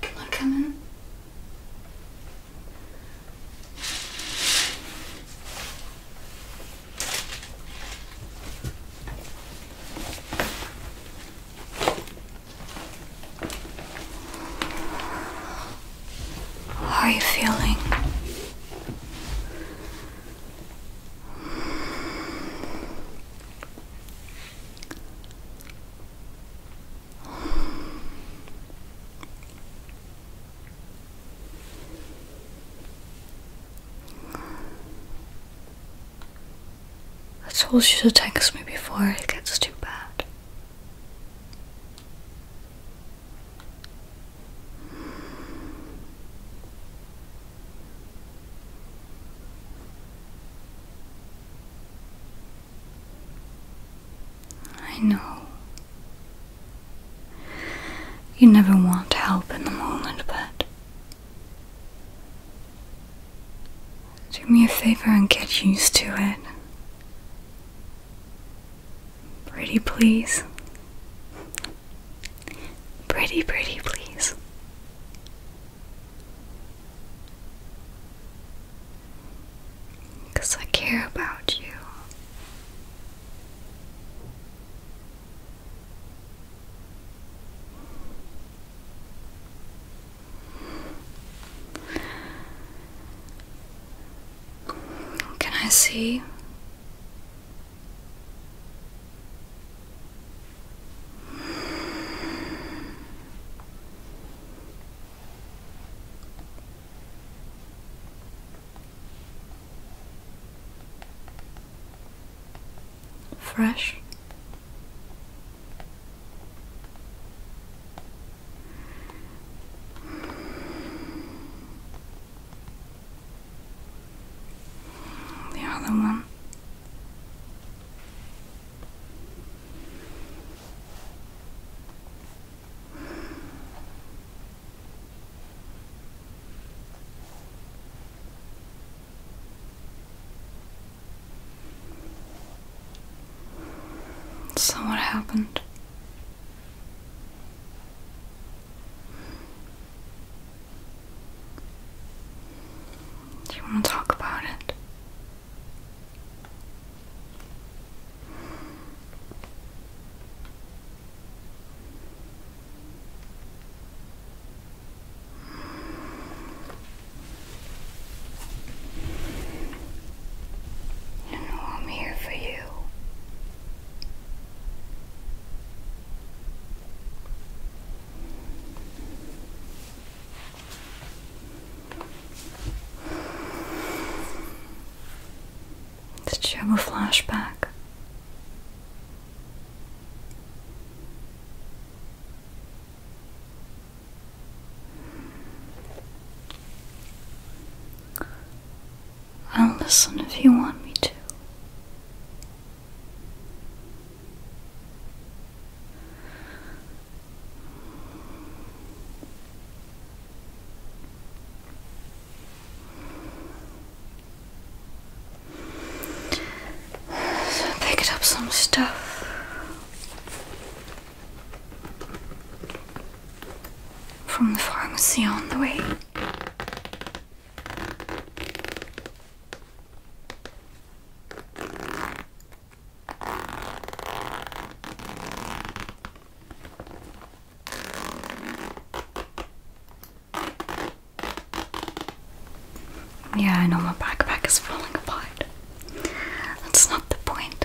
Can I come in? How are you feeling? I told you to text me before it gets too bad. I know. You never want help in the moment, but. Do me a favor and get used to it. Pretty, please. Pretty, pretty, please. Because I care about you. Can I see Fresh. The other one. So, what happened? Do you want to talk about it? You know I'm here for you. Did you have a flashback? I'll listen if you want me to. So up some stuff. From the pharmacy on the way. Yeah, I know my backpack is falling apart. That's not the point.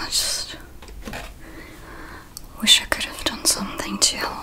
I just wish I could have done something to help.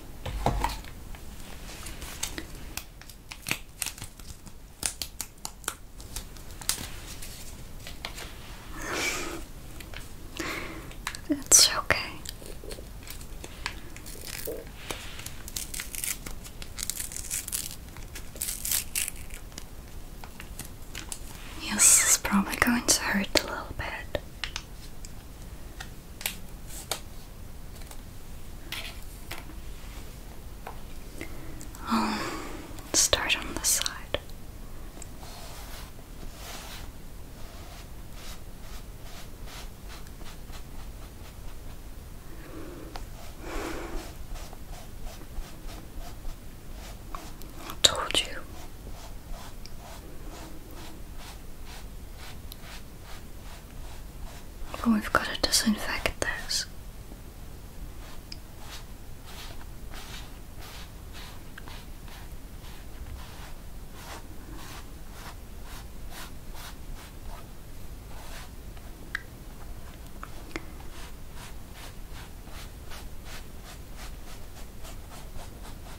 It's okay. Yes, is probably going to hurt a little bit. I'll start on this side. told you. Oh, we've got to disinfect this.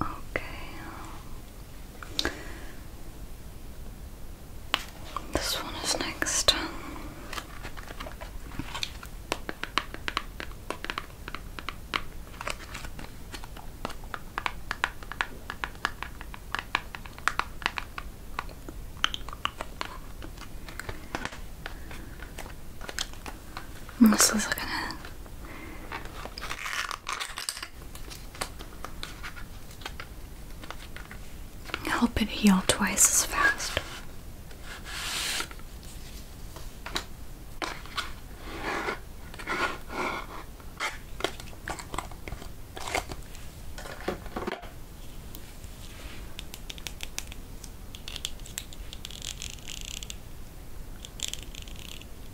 Okay. This one is next. Melissa's looking it. Help it heal twice as fast.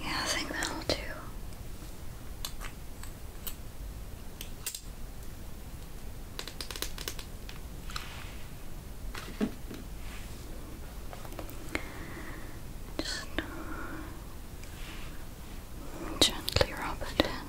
yeah, I think that'll do. Just uh, gently rub it in.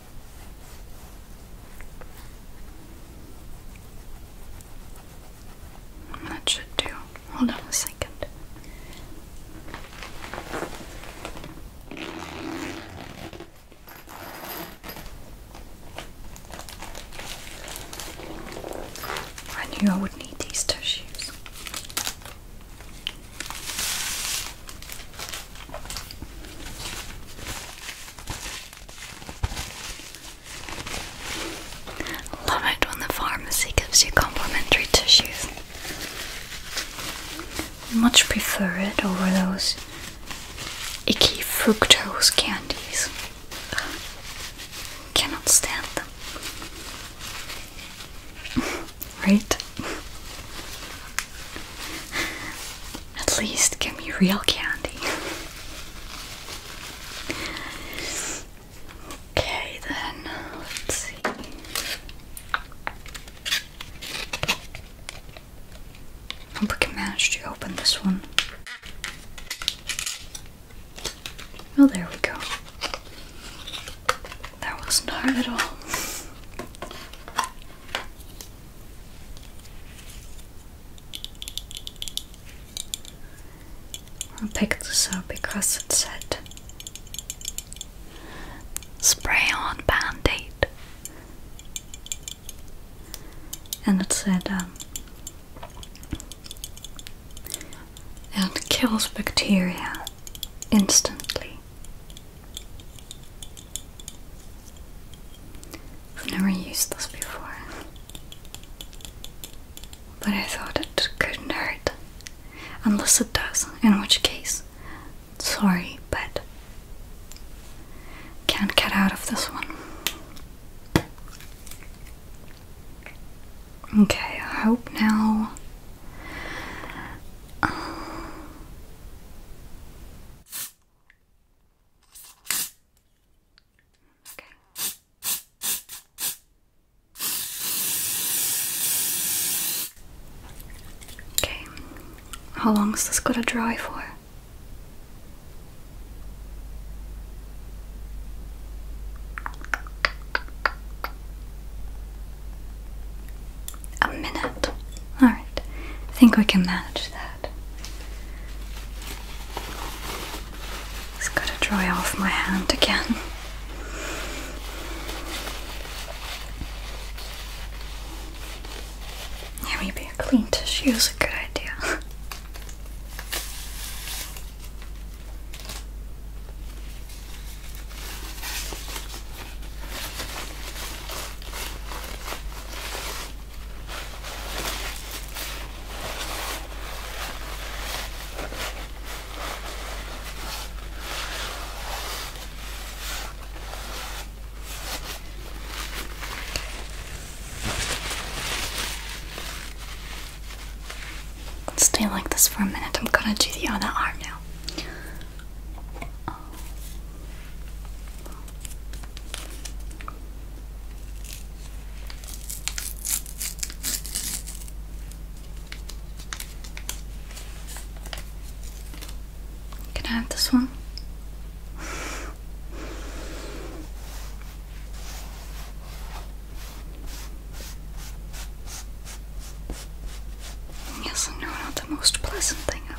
That should do. Hold on a second. I knew I would need these tissues. Love it when the pharmacy gives you complimentary tissues. Much prefer it over those icky fructose candies. Ugh. Cannot stand them. right? At least give me real candy. okay, then let's see. hope we can manage to open this one. Oh, there we go. That wasn't at all. I picked this up because it said spray on band aid, and it said um, it kills bacteria instantly. I've never used this before, but I thought it couldn't hurt. Unless it does, in which case, sorry, but can't get out of this one. Okay, I hope now. Uh, Okay. Okay. How long is this gonna dry for? A minute. Alright, I think we can manage that. Just gotta dry off my hand again. maybe a clean tissue is a good idea. Stay like this for a minute. I'm gonna do the other arm now. Can I have this one? Yes, I know, not the most pleasant thing ever.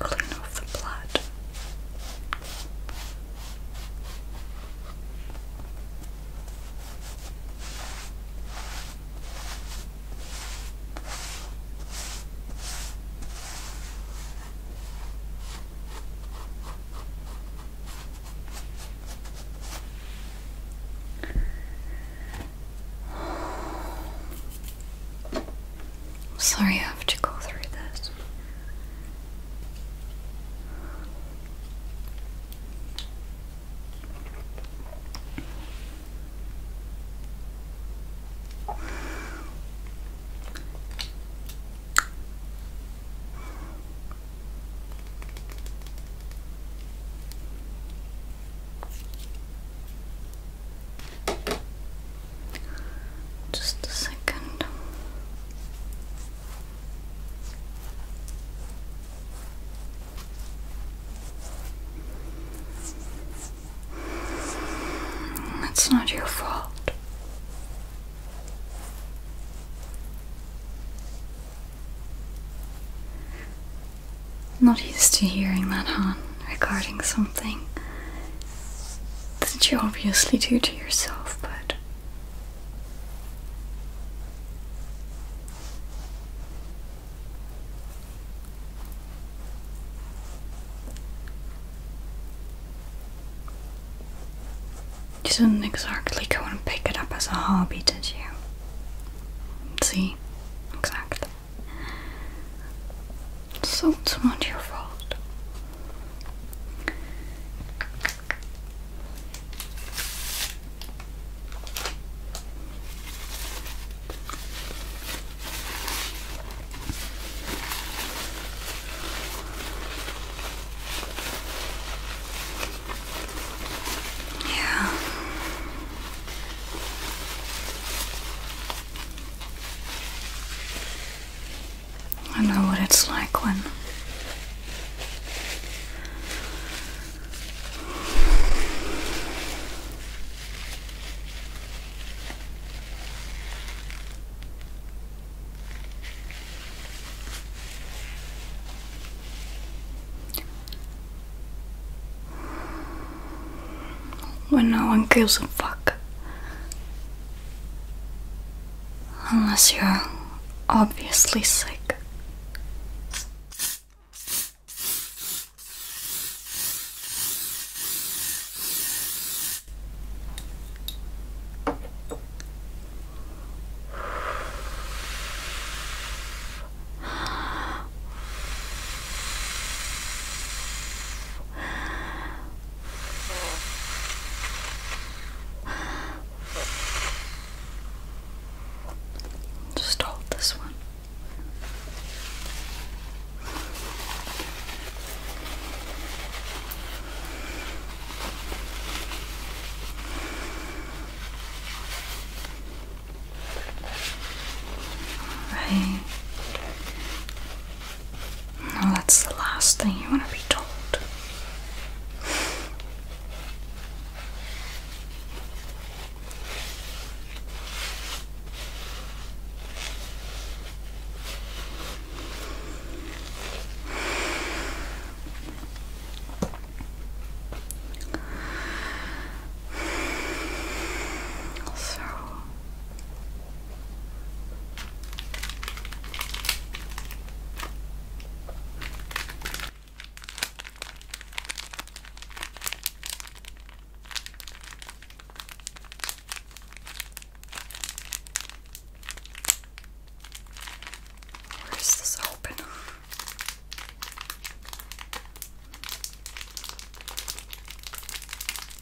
Clean off the blood. I'm sorry I have to go through this. Just a second. It's not your fault. Not used to hearing that, huh? regarding something that you obviously do to yourself, but you didn't exactly go and pick it up as a hobby, did you? See? Exactly. So it's not your fault. Yeah. I know what it's like when when no one gives a fuck. Unless you're obviously sick. Just hold this one. All right that's the last thing you want to be told. So Where's this open?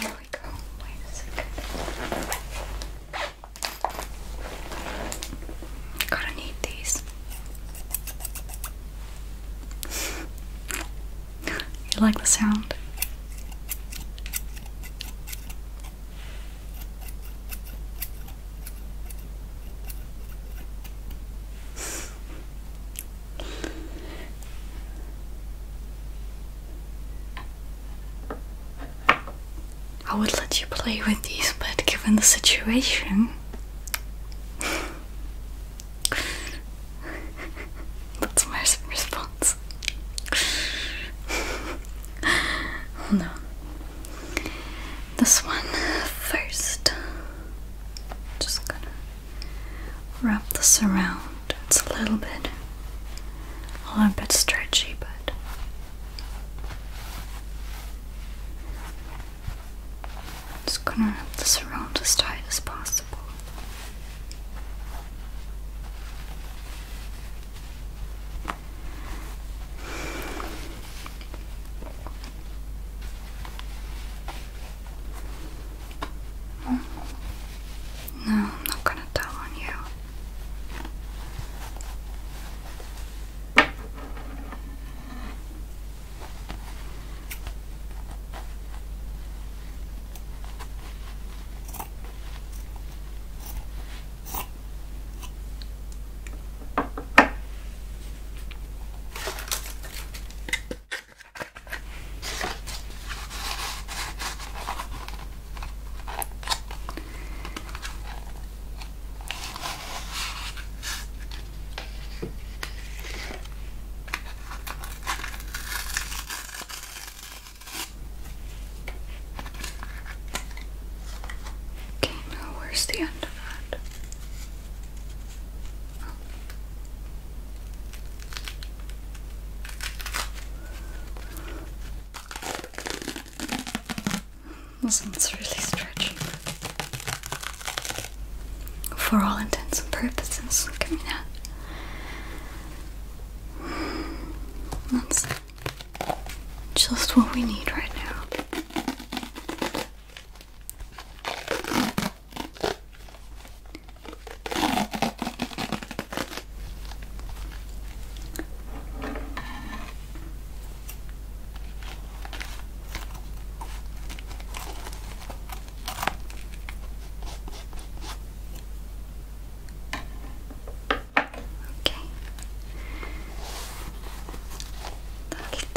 There we go. Wait a second. Gotta need these. you like the sound? I would let you play with these, but given the situation. That's my response. no. This one first. Just gonna Wrap this around. It's a little bit, a little bit stretchy, but I'm just gonna wrap this around as tight as possible. No, I'm not gonna tell on you. Okay, now where's the end of that? This one's really stretching. For all intents and purposes, coming out. That's just what we need right now.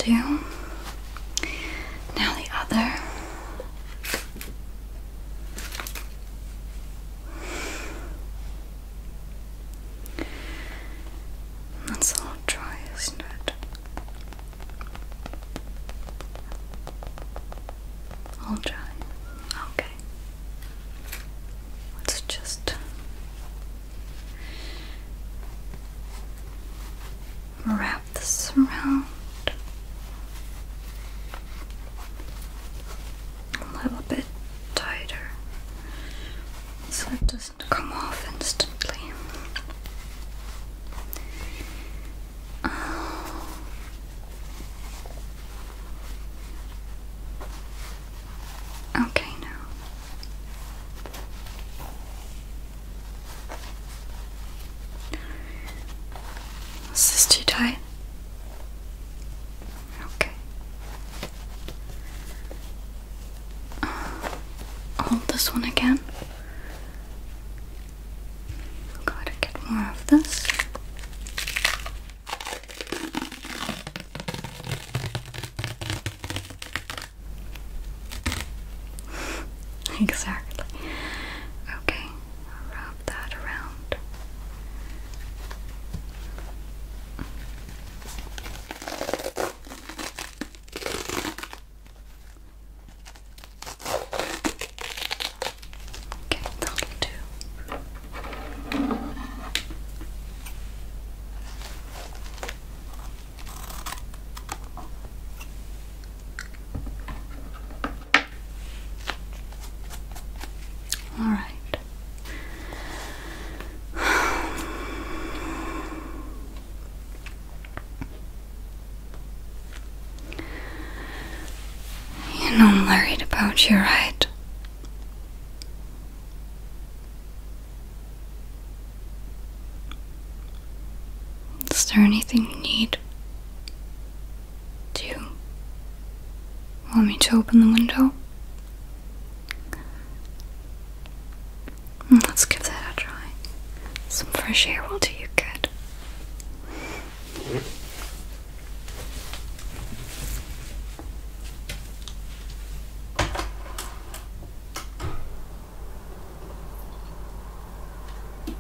Okay. That'll Now the other that's all dry, isn't it? All dry. Okay. Let's just wrap this around a little bit tighter so it doesn't come off instantly. Um, okay, now is this too tight? Okay. Uh, hold this one again. Gotta get more of this. exactly. Okay, rub wrap that around. Okay, that'll do. All right. You know I'm worried about you, right? Is there anything you need? Do you want me to open the window? Mm, let's give that a try. Some fresh air will do you good.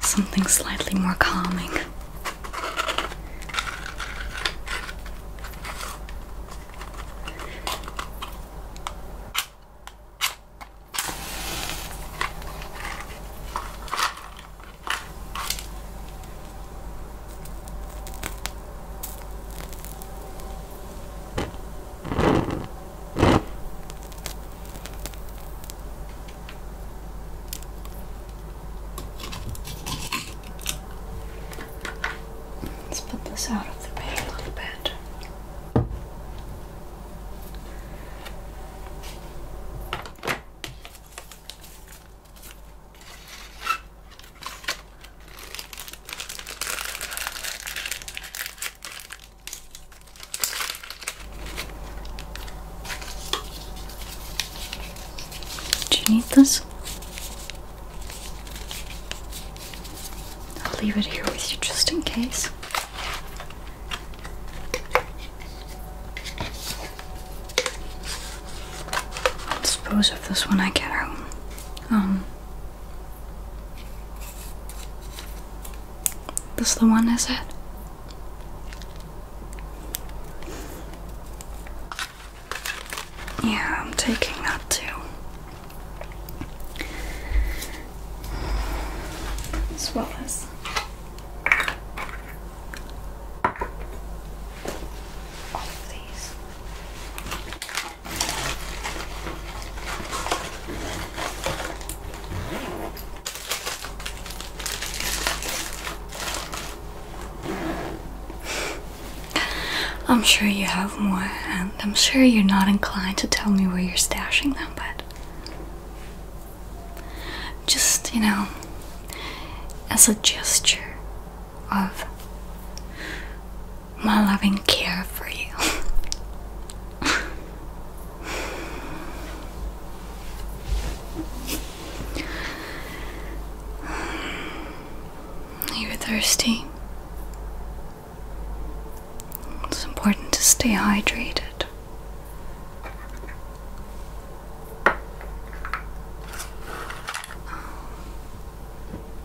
Something slightly more calming. Let's put this out of the way a little bit. Do you need this? I'll leave it here with you just in case. i suppose if this one I get home. Um, this the one, is it? Yeah, I'm taking that too. As well as. All of these. I'm sure you have more, and I'm sure you're not inclined to tell me where you're stashing them, but just, you know, as a gesture of my loving care for you. You're thirsty. It's important to stay hydrated.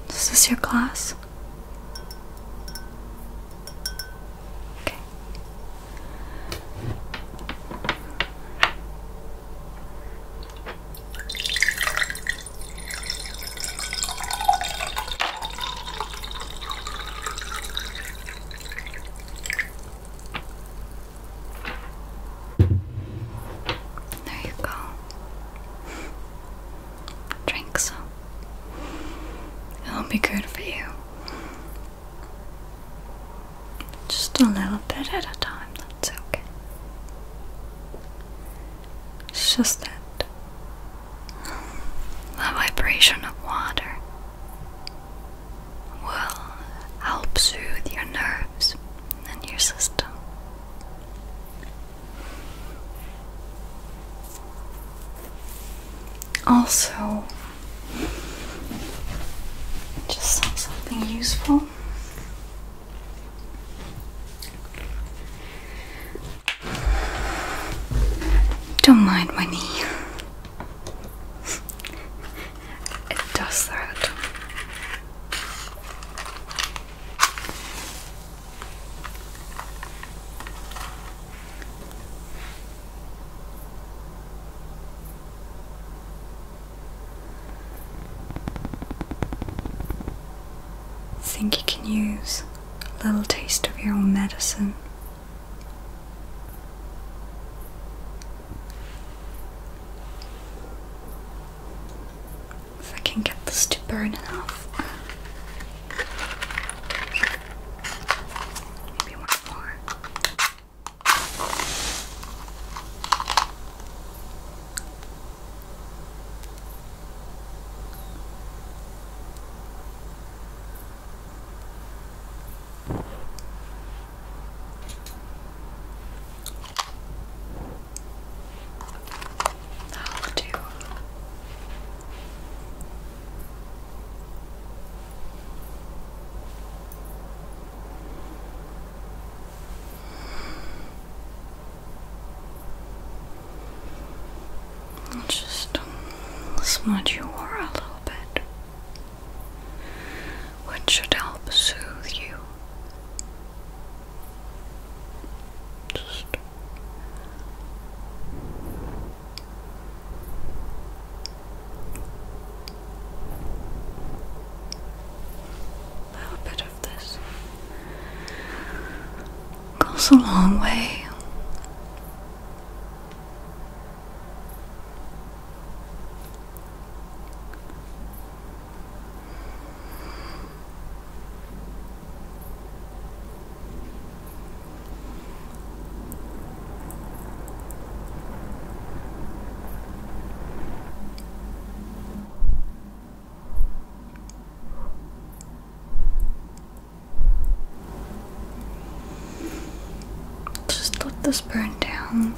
Is this your glass? this. Okay. There you go drink some. It'll be good for you. Just a little bit at a time, that's okay. It's just that the vibration of water will help soothe your nerves and your system. Also, just something useful. Don't mind my knee. it does that. Think you can use a little taste of your own medicine. If I can get this to burn enough, Maybe one more. That'll do. Just smudge your aura a little bit, which should help soothe you. Just a little bit of this goes a long way. Just let this burn down.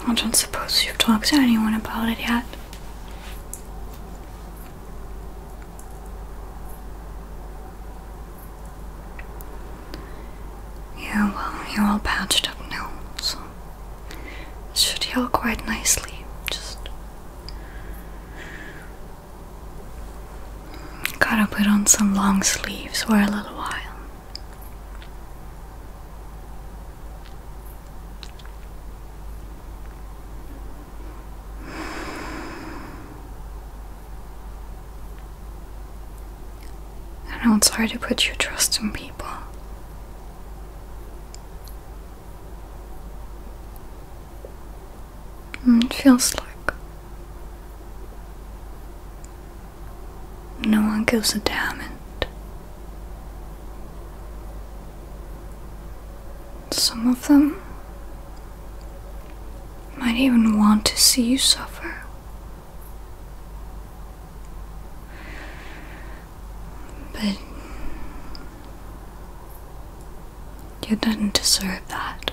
I don't suppose you've talked to anyone about it yet. Yeah, well, you're all patched up now, so should heal quite nicely. Just Gotta put on some long sleeves for a little while. I know it's hard to put your trust in people. Mm, it feels like no one gives a damn it. Some of them might even want to see you suffer. But you do not deserve that.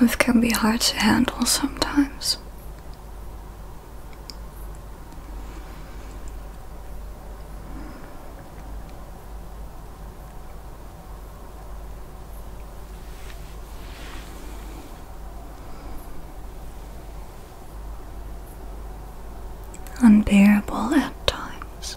Life can be hard to handle sometimes. Unbearable at times.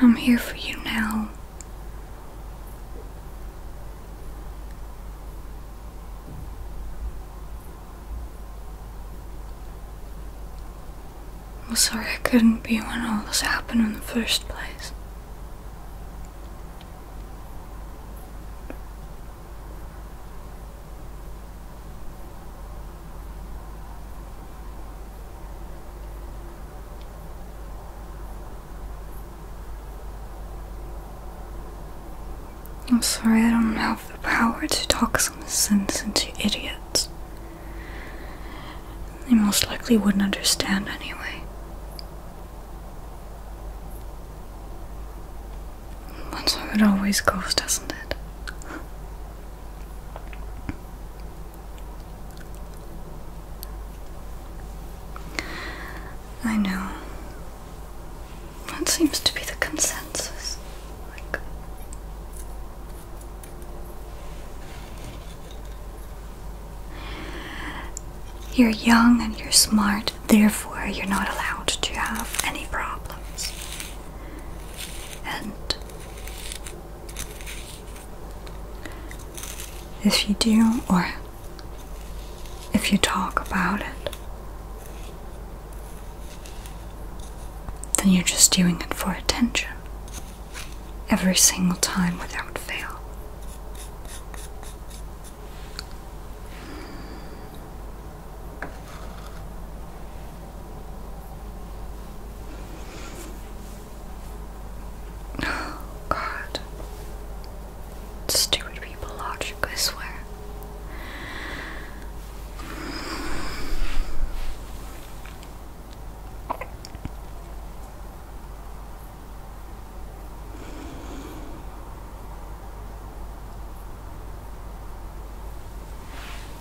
I'm here for you now. I'm sorry I couldn't be when all this happened in the first place. I'm sorry I don't have the power to talk some sense into idiots. They most likely wouldn't understand anyway. That's how it always goes, doesn't it? I know. That seems to be the consensus. Like, you're young and you're smart, therefore, you're not allowed to have any problems. And if you do, or if you talk about it, then you're just doing it for attention every single time without fail. god. Stupid people logic, I swear.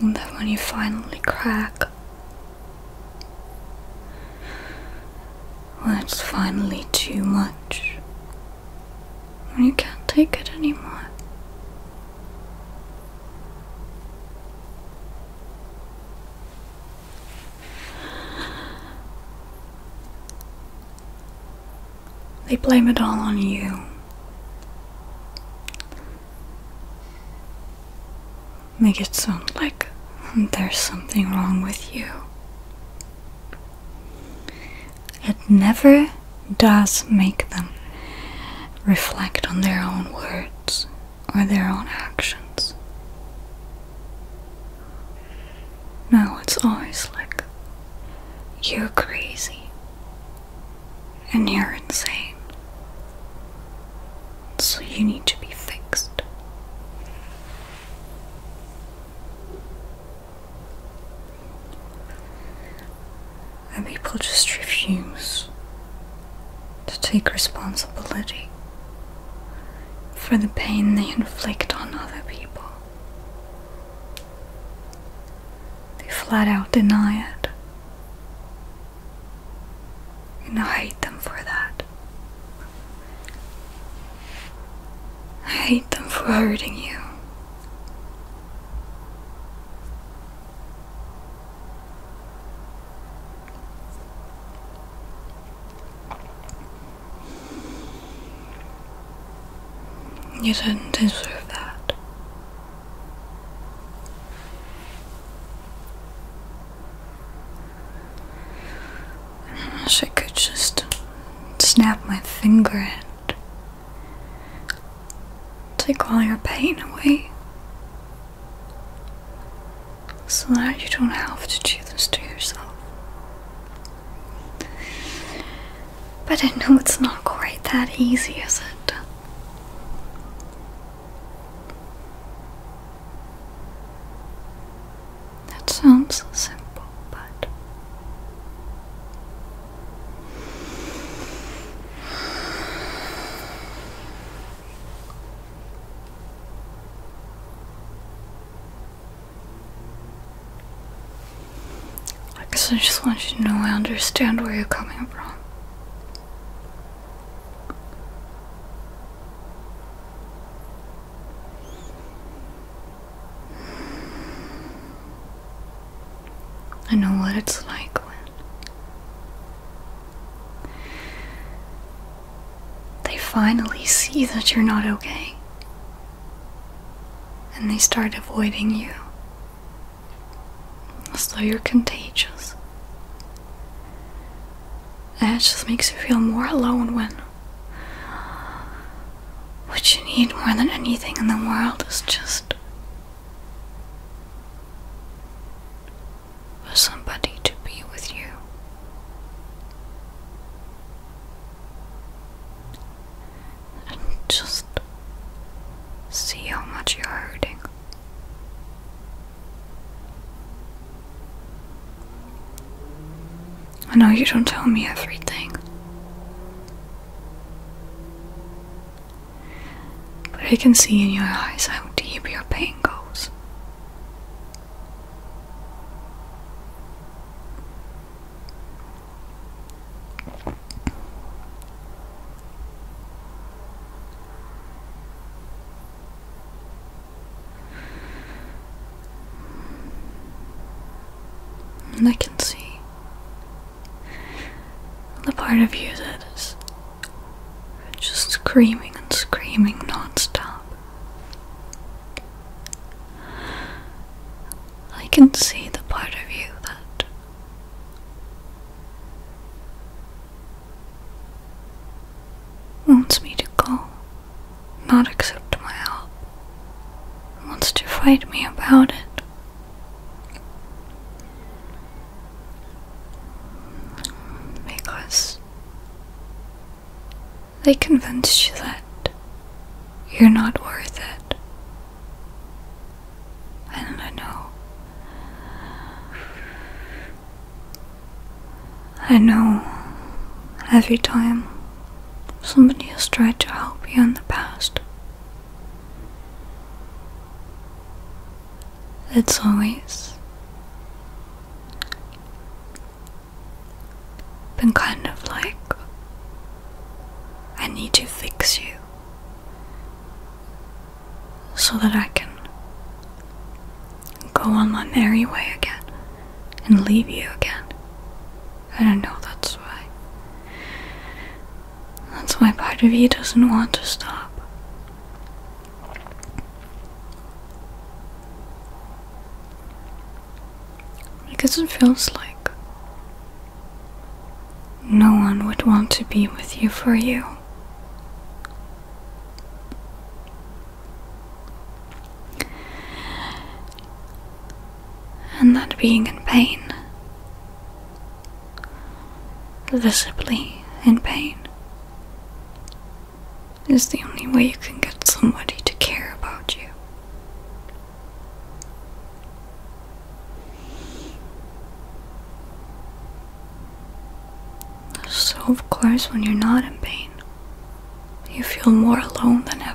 And then when you finally crack, when it's finally too much, when you can't take it anymore. They blame it all on you. Make it sound like there's something wrong with you. It never does make them reflect on their own words or their own actions. No, it's always like, you're crazy and you're insane. So you need to be fixed. And people just refuse to take responsibility for the pain they inflict on other people. They flat out deny it. And I hate them for that. I hate them for hurting you. You didn't deserve that. I wish I could just snap my finger and take all your pain away so that you don't have to do this to yourself. But I know it's not quite that easy, is it? That sounds simple, but I guess I just want you to know I understand where you're coming from. I know what it's like they finally see that you're not okay and they start avoiding you as though you're contagious. And it just makes you feel more alone when what you need more than anything in the world is just for somebody to be with you and just see how much you're hurting. I know you don't tell me everything, but I can see in your eyes how deep your pain goes. And I can see the part of you that is just screaming and screaming non-stop. I can see the part of you that Wants me to go, not accept my help. Wants to fight me about it. Because they convinced you that you're not worth it. I don't know. I know every time somebody has tried to help you in the past, it's always been kind of like I need to fix you so that I can go on my merry way again and leave you again. I don't know, that's why. That's why part of you doesn't want to stop. Because it feels like no one would want to be with you for you. And that being in pain, visibly in pain, is the only way you can get somebody to care about you. So, of course, when you're not in pain, you feel more alone than ever.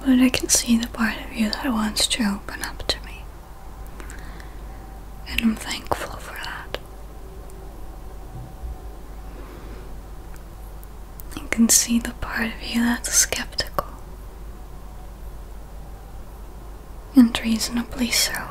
But I can see the part of you that wants to open up to me. And I'm thankful for that. I can see the part of you that's skeptical. And reasonably so.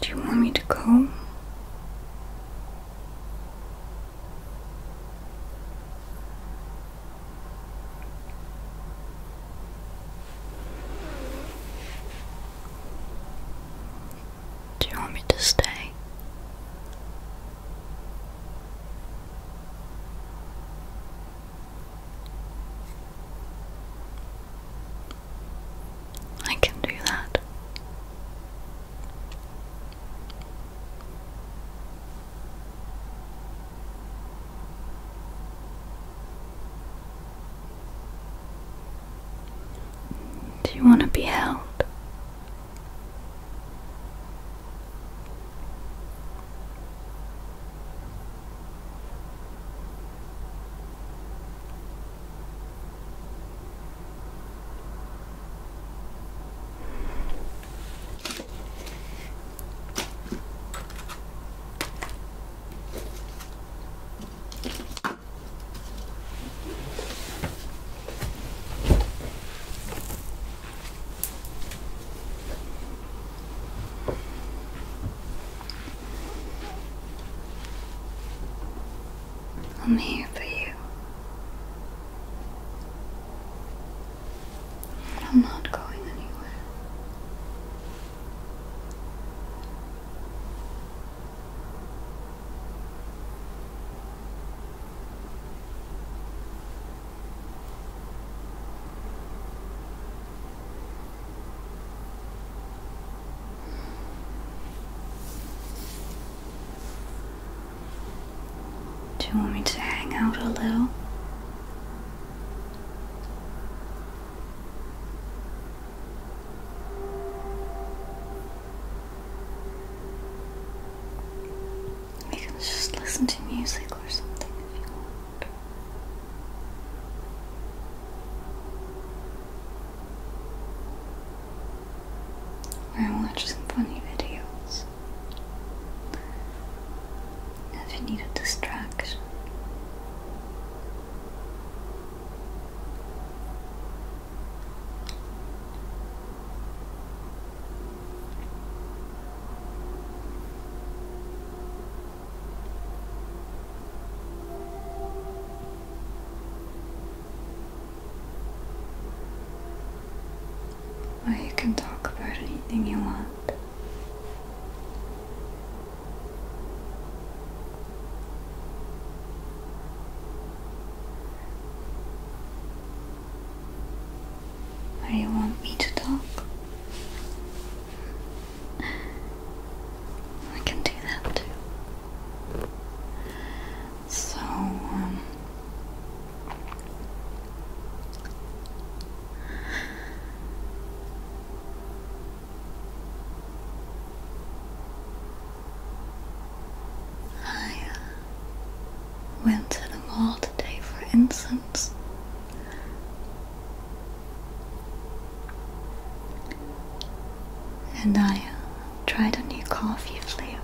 Do you want me to go? Do you want me to stay? I can do that. Do you want to be held? I'm here for you. I'm not going anywhere. Do you want me to hang out a little? We can just listen to music or something if you want. Or watch some funny videos. If you need a distraction. Or you can talk about anything you want. Do you want me to talk? I can do that too. So, um, I uh, went to the mall today for incense. And I uh, tried a new coffee flavor.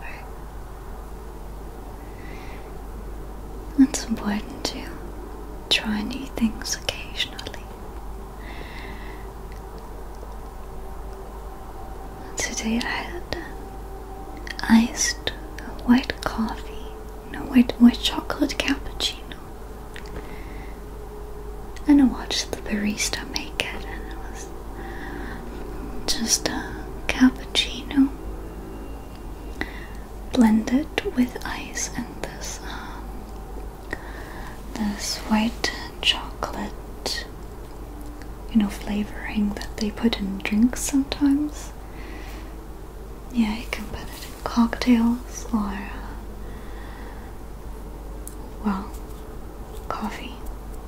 It's important to try new things occasionally. Today I had iced white coffee, no white white chocolate cappuccino, and I watched the barista make it, and it was just a cappuccino blended with ice and this um, this white chocolate, you know, flavoring that they put in drinks sometimes. Yeah, you can put it in cocktails or, uh, well, coffee.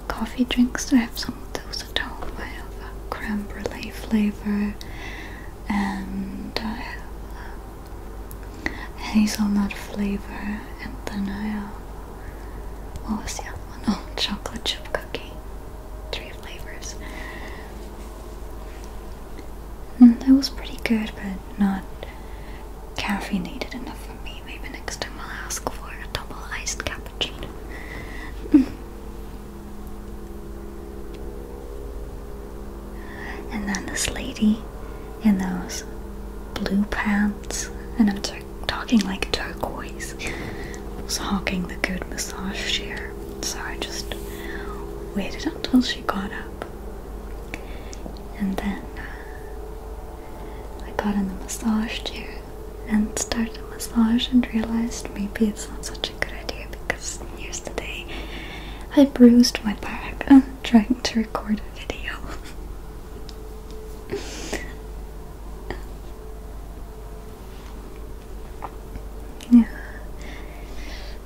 Coffee drinks. I have some of those at home. I have a creme flavor, and I have uh, hazelnut flavor and vanilla. What was the other one? Oh, chocolate chip cookie. Three flavors. Hmm, that was pretty good, but not needed enough for me. Maybe next time I'll ask for a double iced cappuccino. Hmm. And then this lady in those blue pants, and I'm talking like turquoise. I was hawking the good massage chair, so I just waited until she got up, and then uh, I got in the massage chair and started the massage, and realized maybe it's not such a good idea because here's the day I bruised my back trying to record a video.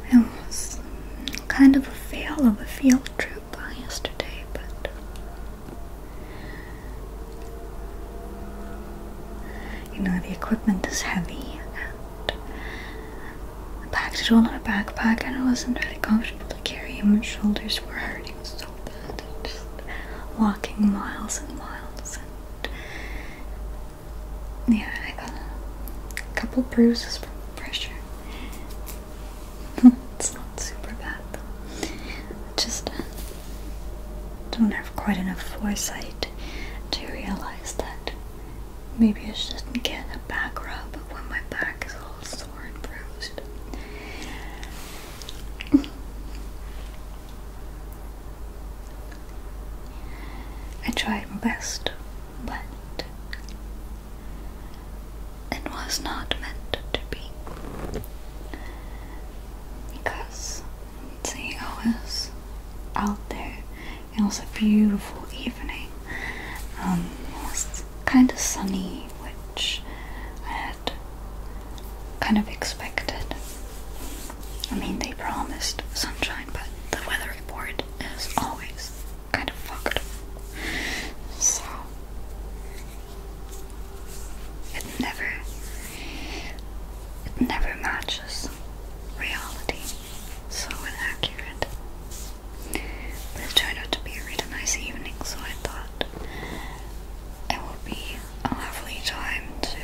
it was kind of a fail of a field trip yesterday, but you know the equipment is heavy, and I packed it all in a backpack, and it wasn't really comfortable to carry on my shoulders fingers were hurting so bad walking miles and miles and yeah I got a couple bruises from pressure it's not super bad though just uh, don't have quite enough foresight to realize that maybe I shouldn't get a back rub when my back is all sore and bruised. I tried my best, but it was not meant to be. Because see, I was out there. It was a beautiful evening. Um, it was kind of sunny which I had kind of expected. I mean, they promised sunshine, but the weather report is always kind of fucked. So, it never, it never matches reality. So inaccurate. But it turned out to be a really nice evening, so I thought it would be a lovely time to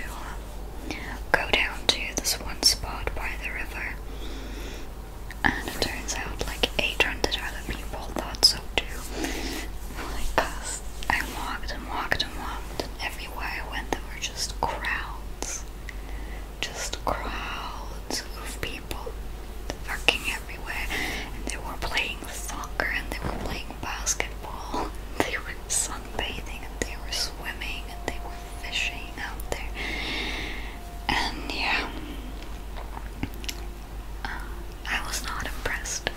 uh, go down to this one spot by the river. And it turns out like 800 other people thought so too. Like I walked and walked and walked, and everywhere I went there were just crowds. Just crowds of people people working everywhere and they were playing soccer and they were playing basketball they were sunbathing and they were swimming and they were fishing out there and yeah uh, I was not impressed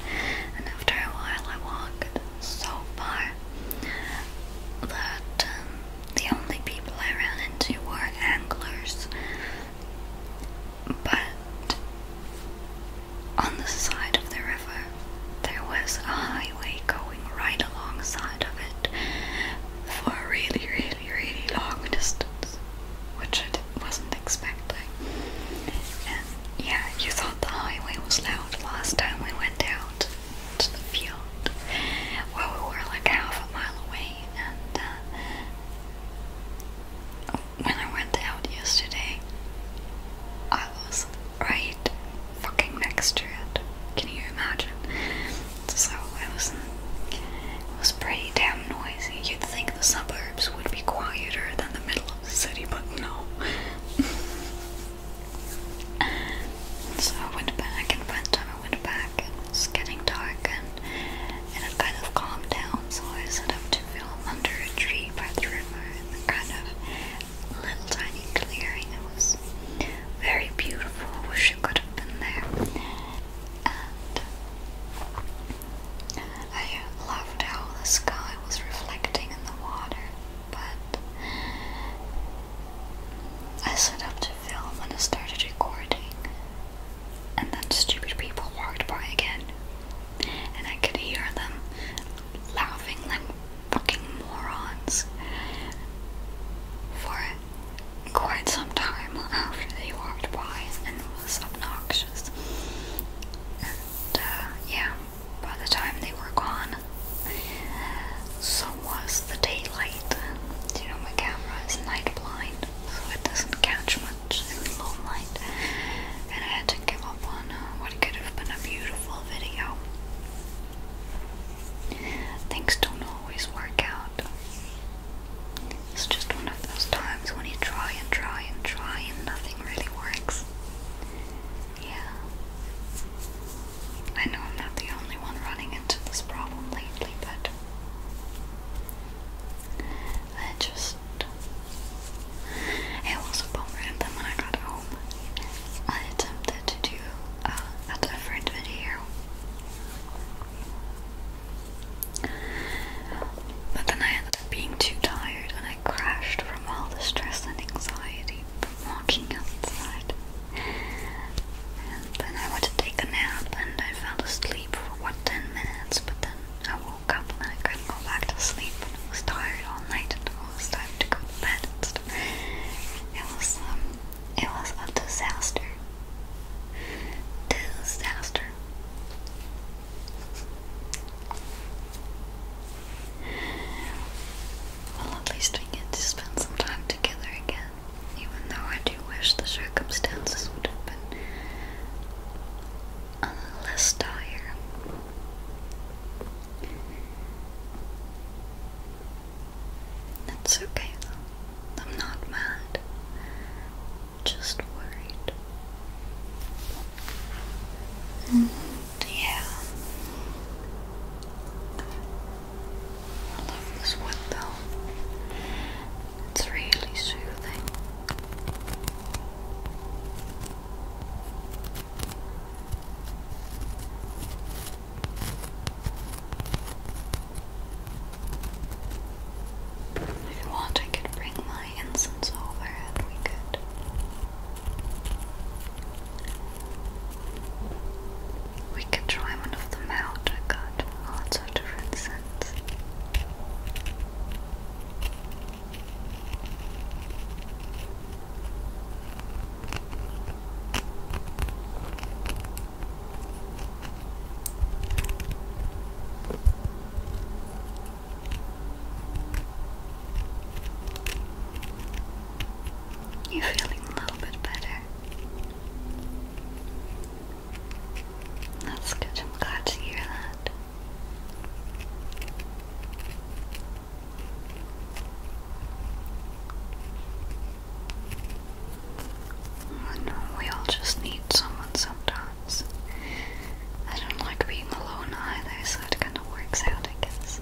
and after a while I walked so far that um, the only people I ran into were anglers but on the side of the river, there was a highway going right alongside of it for a really, really, really long distance, which I wasn't expecting. And yeah, you thought the highway was loud last time we went out to the field, where we were like half a mile away, and uh, when I went out yesterday, I was right fucking next to it. Can you imagine? So it was, it was pretty damn noisy. You'd think the suburbs would be quieter than the middle of the city, but no. so I went back and by the time went back it's getting dark and it kind of calmed down, so I set up to film under a tree by the river in the kind of little tiny clearing. It was very beautiful. wish you could have been there. I loved how the sky was reflecting in the water, but I set up to film and I started recording and then stupid people walked by again. And I could hear them laughing like fucking morons for quite some time after they walked by and it was obnoxious. And uh, yeah, by the time they were gone, so was the daylight. You know, my camera is night blind, so it doesn't catch much much in low light, and I had to give up on uh, what could have been a beautiful video. Things don't always work out. It's just one of those times when you try and try and try and nothing really works. Yeah. I know I'm not the only one running into this problem lately, but I just it was a bummer and then when I got home I attempted to do a different video but then I ended up being too tired and I crashed from all the stress and anxiety from walking outside and then I went to take a nap and I fell asleep for what 10 minutes but then I woke up and I couldn't go back to sleep and I was tired all night and it was time to go to bed and stuff. It was um, it was a disaster. Disaster. Well, at least we get to spend some time together again, even though I do I wish the circumstances would have been a little less dire? That's okay though. I'm not mad. Just worried. And mm, yeah. I love this wood It's really soothing. If you want, I could bring my incense over and we could. We could try one of them out, lots of different scents. You're feeling a little bit better. That's good. I'm glad to hear that. Oh, we all just need someone sometimes. I don't like being alone either, so it kind of works out, I guess.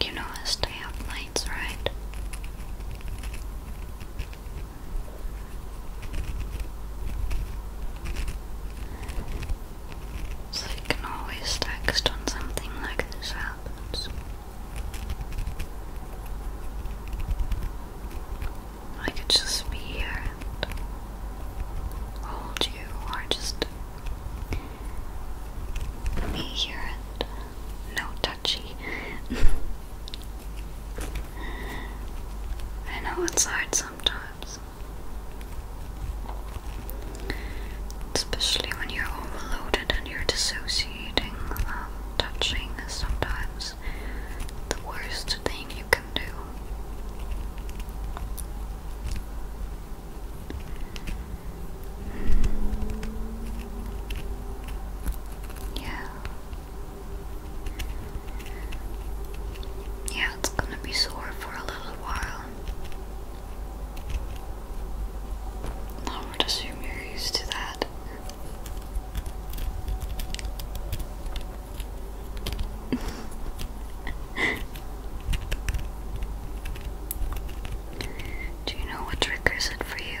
You know I stay up nights, right? So you can always text when something like this happens. I could just be here and hold you, or just be here and no touchy. I know it's hard sometimes. Especially when you're overloaded and you're dissociating, um, touching is sometimes the worst thing you can do. Yeah. Yeah, it's gonna be sore for a little while. I would assume you're used to that. Do you know what triggers it for you?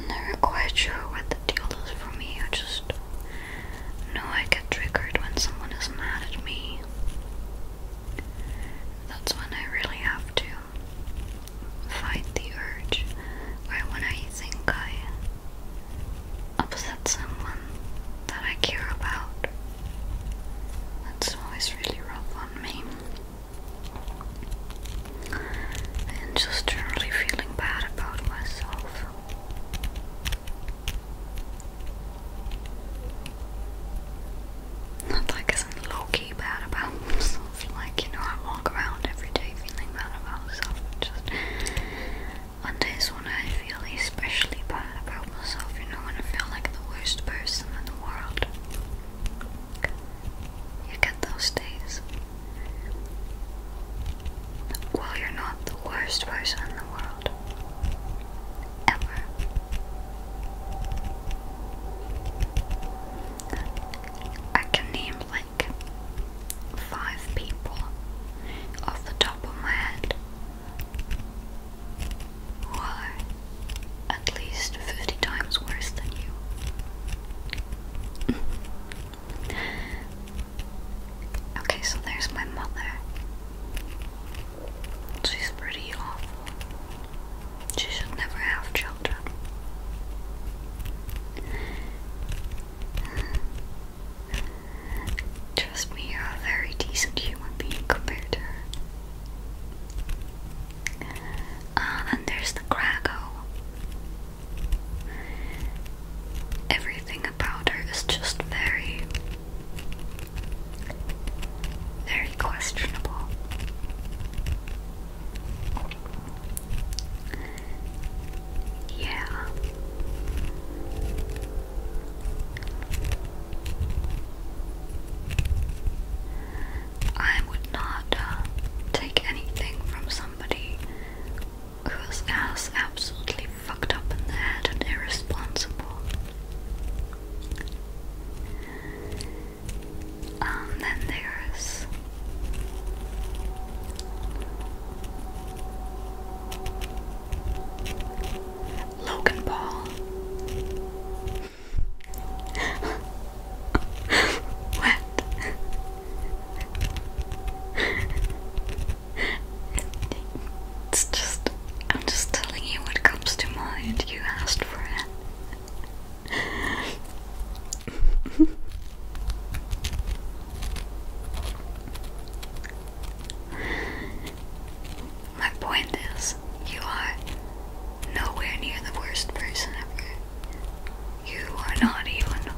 I'm never quite sure what the deal is for me. I just know I get triggered when someone is mad at me. That's when I really have to fight the urge, or when I think I upset someone that I care about. That's always really rough on me. And just generally feeling bad about myself. Not like isn't low key bad about myself. Like, you know, I walk around every day feeling bad about myself. Just on days when I feel especially bad about myself, you know, when I feel like the worst person in the world, you get those days. Well, you're not the worst person in the world. Ever. I can name like five people off the top of my head why? At least 50 times worse than you. okay, so there's my mother. She's pretty awful. She should never have children. Trust me, you're a very decent human being compared to her. Uh, there's the Krago. Everything about her is just very, very questionable. Yeah. I would not uh, take anything from somebody who's as absolutely fucked up in the head and irresponsible. Um, then there's. Logan Paul. what? It's just, I'm just telling you what comes to mind. You asked for it. My point is, you are nowhere near the worst person ever. You are not even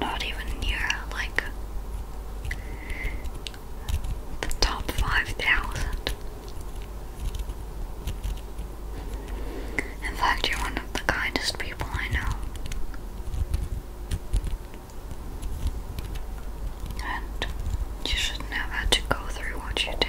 not even near like the top 5,000. In fact, you're one of the kindest people I know. And you shouldn't have had to go through what you did.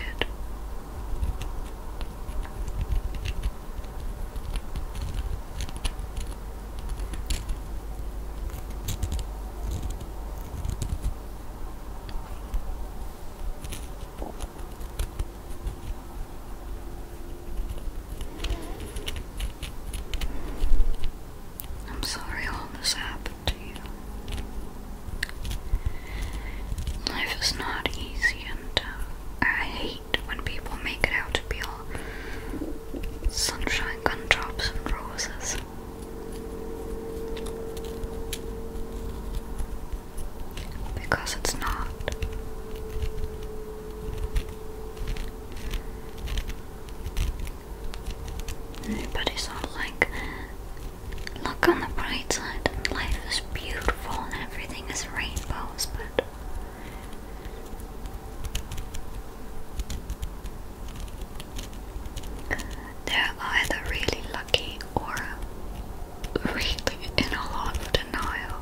I'm sorry all this happened to you. Life is not easy, and uh, I hate when people make it out to be all sunshine, gumdrops, and roses. Because it's not. But it's like look on the bright side. Life is beautiful and everything is rainbows, but they're either really lucky or really in a lot of denial.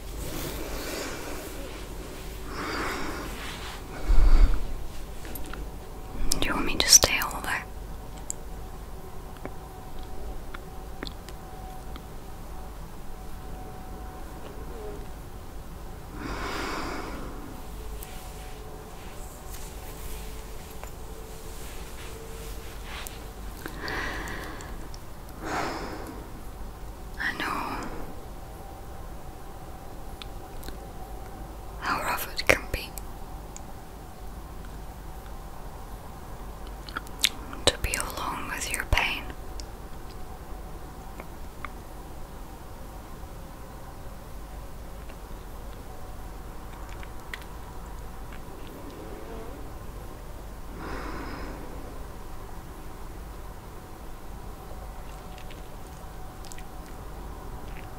Do you want me to stay over? I know how rough it can be. To be alone with your pain.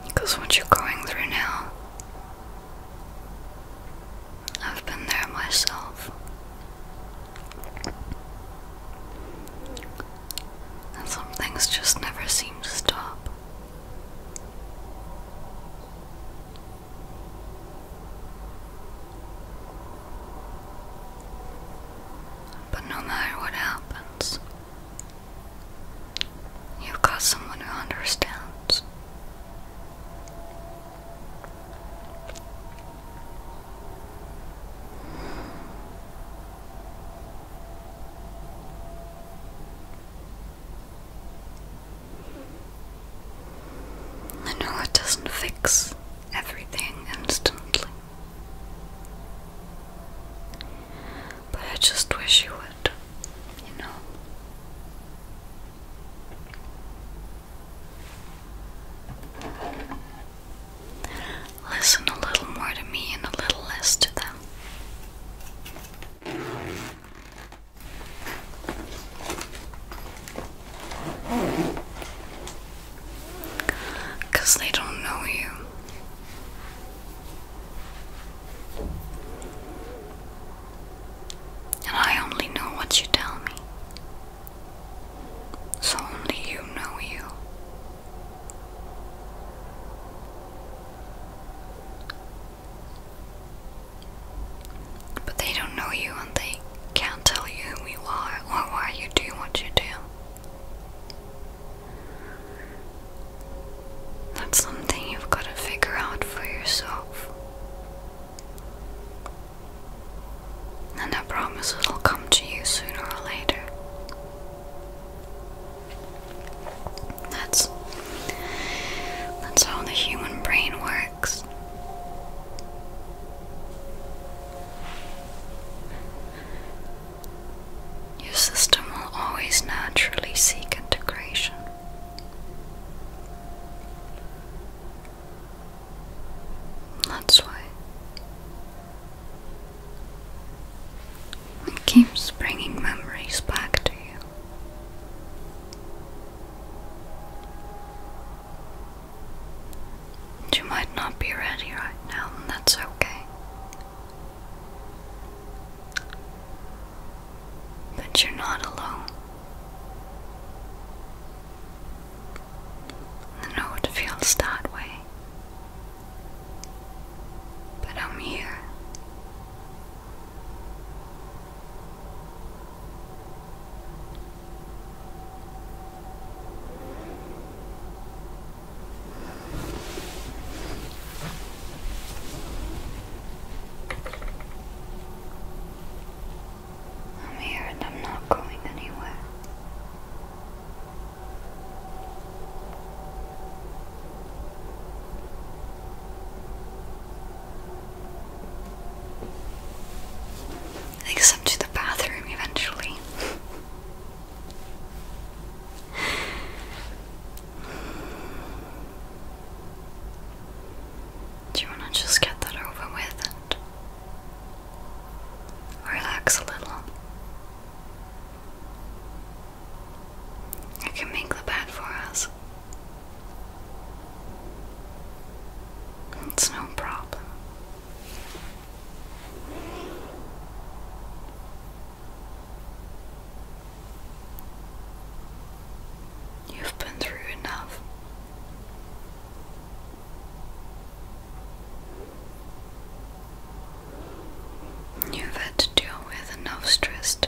Because what you're going through now, I've been there myself. And some things just never seem to stop. But no matter what happens, you've got someone who understands. I know it doesn't fix everything instantly. But I just wish you would, you know. Listen a little more to me and a little less to them. Because they don't know you. And I only know what you tell me. So only you know you. But they don't know you and they can't tell you who you are or why you do what you do. That's something you've got to figure out for yourself. And I promise it'll come to you sooner or later. That's that's how the human brain works. Your system will always naturally seek integration. That's why it keeps bringing memories back to you. You might not be ready right now, and that's okay. But you're not alone. I know it feels that way. But I'm here. I'm here and I'm not going anywhere. Takes them to the bathroom eventually. Do you want to just get that over with and relax a little? I can make the bed for us. It's no problem. You've been through enough. You've had to deal with enough stress today.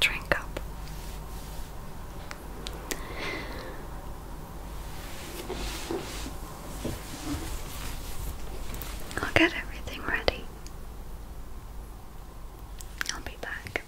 Drink up. I'll get everything ready. I'll be back.